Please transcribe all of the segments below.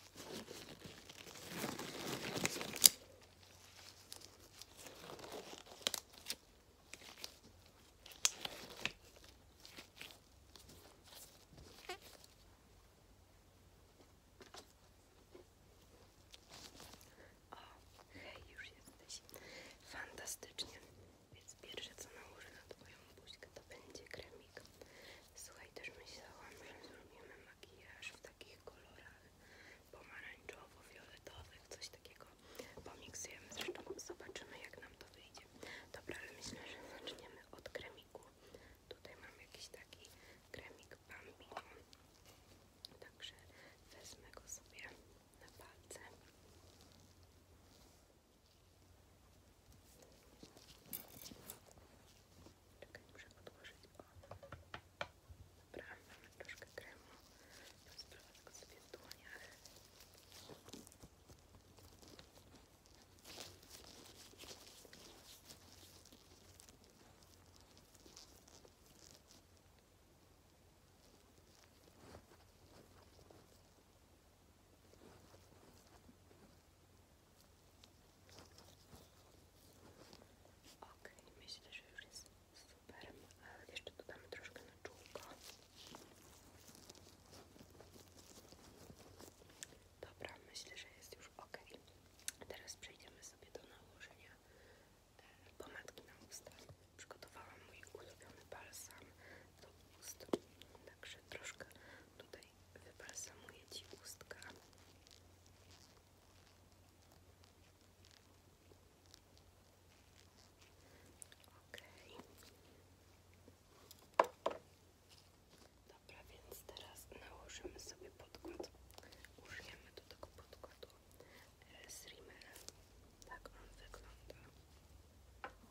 O, hej, już jesteś. Fantastycznie. Więc pierwsze co nałożę na twoją buźkę to będzie kremik. Słuchaj, też myślałam, że zrobimy makijaż w takich kolorach pomarańczowo-fioletowych, coś takiego pomiksujemy, zresztą zobaczymy jak nam to wyjdzie. Dobra, ale myślę, że zaczniemy od kremiku. Tutaj mam jakiś taki kremik Bambi, także wezmę go sobie na palce. Czekaj, muszę podłożyć, o. Dobra, mamy troszkę kremu. To sprawa tak sobie w dłoniach. Dobra, Ok, myślę, że już jest super. Ale jeszcze dodamy troszkę na Dobra, myślę, że jest już ok. Teraz przejdziemy sobie do nałożenia e, pomadki na usta. Przygotowałam mój ulubiony balsam do ust. Także troszkę tutaj wybalsamuję Ci ustka. Okej. Dobra, więc teraz nałożymy sobie podkład. Użyjemy do tego podkładu z e, Rimmel. Tak on wygląda.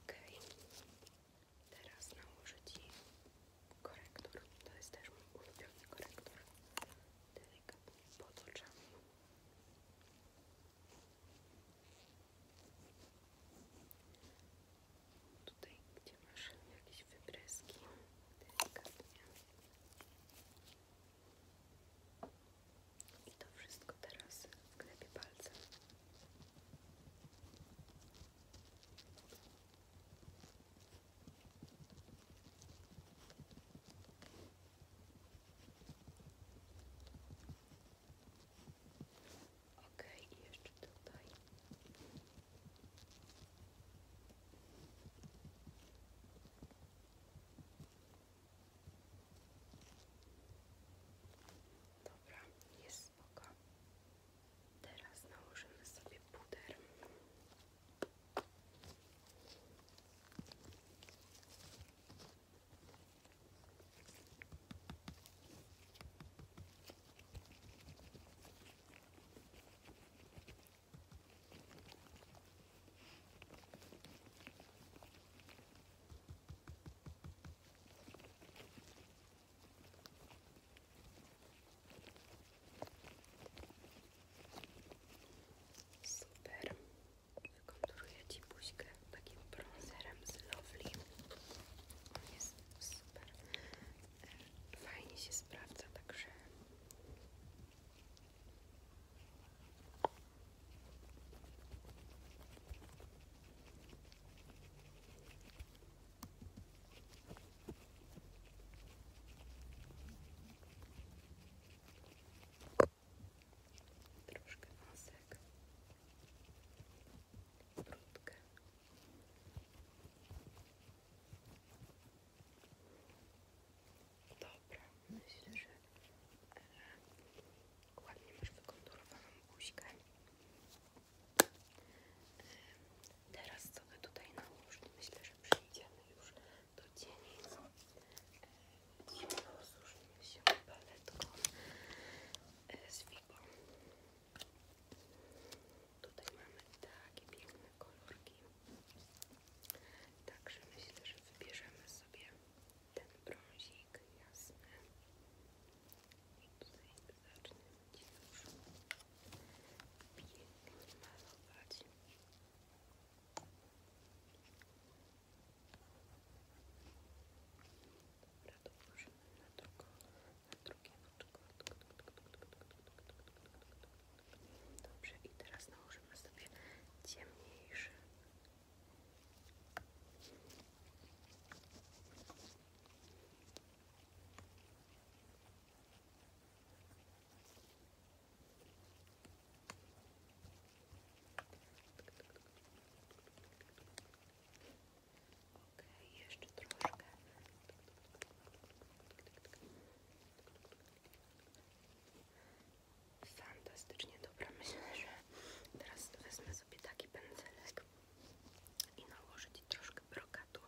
Ok, teraz na Ci korektor. To jest też mój ulubiony korektor. Delikatnie potoczam. Tutaj, gdzie masz jakieś wybryski, i to wszystko teraz wklepię palcem. Ok, jeszcze tutaj. Dobra, jest spoko. Teraz nałożymy sobie puder. Super. Wykonturuję Ci buźkę takim bronzerem z Lovely. jest super fajnie się sprawdza, także troszkę nosek brudkę Dobra, myślę, że ładnie masz wykonturowaną buźkę. Teraz sobie tutaj nałóż. Myślę, że przyjdziemy już do dzielnic. Rozróżnimy się paletką e, z Vigo. Tutaj mamy takie piękne kolorki. Także myślę, że wybierzemy sobie ten brązik jasny. I tutaj zaczniemy już pięknie malować. Dobra, dołożymy na to drugie oczko. Dobrze, i teraz nałożymy sobie ciemniejszy jeszcze troszkę. Fantastycznie dobra. Myślę, że teraz wezmę sobie taki pędzelek i nałożyć troszkę brokatu.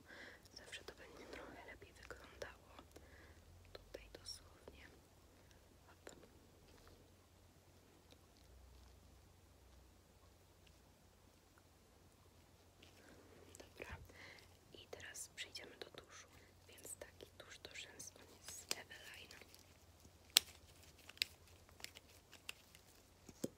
Zawsze to będzie trochę lepiej wyglądało. Tutaj dosłownie. Hop. Dobra, i teraz przejdziemy do tuszu. Więc taki tusz do z Eveline. Okej, okay,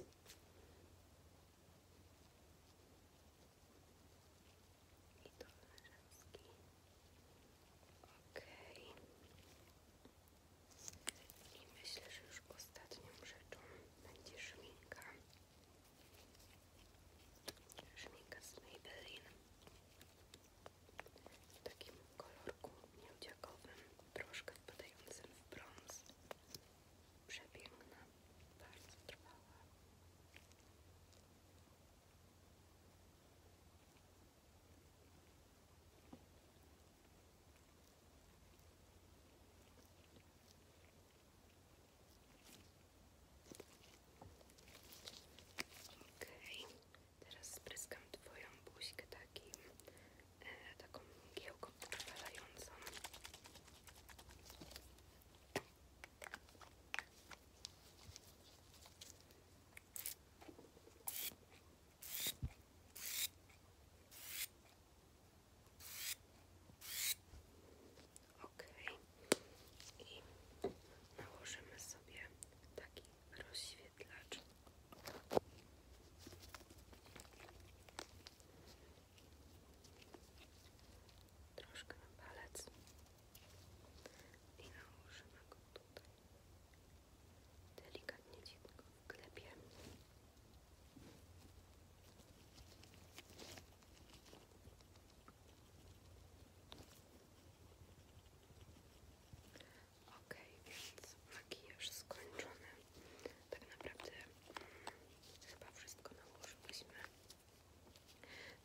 i i tu mężeński. Okej. Okay. I myślę, że już ostatnią rzeczą będzie szminka. Szminka z Maybelline. W takim kolorku miedziakowym, troszkę wpadającym w brąz przepiękna, bardzo trwała. Okej, okay. teraz spryskam Twoją buźkę takim e, taką mgiełką odpalającą. Ok, i nałożymy sobie taki rozświt wyświetlacz. Troszkę na palec i nałożymy go tutaj. Delikatnie ci go wklepiemy. Ok, więc już skończony. Tak naprawdę hmm, chyba wszystko nałożyliśmy.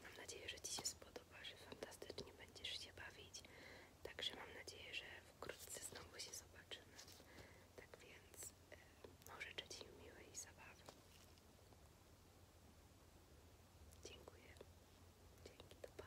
Mam nadzieję, że Ci się spodoba, że fantastycznie będziesz się bawić. Także mam nadzieję, że wkrótce znowu się zobaczymy. Tak więc e, no, życzę Ci miłej zabawy. Dziękuję. Dzięki, to pa.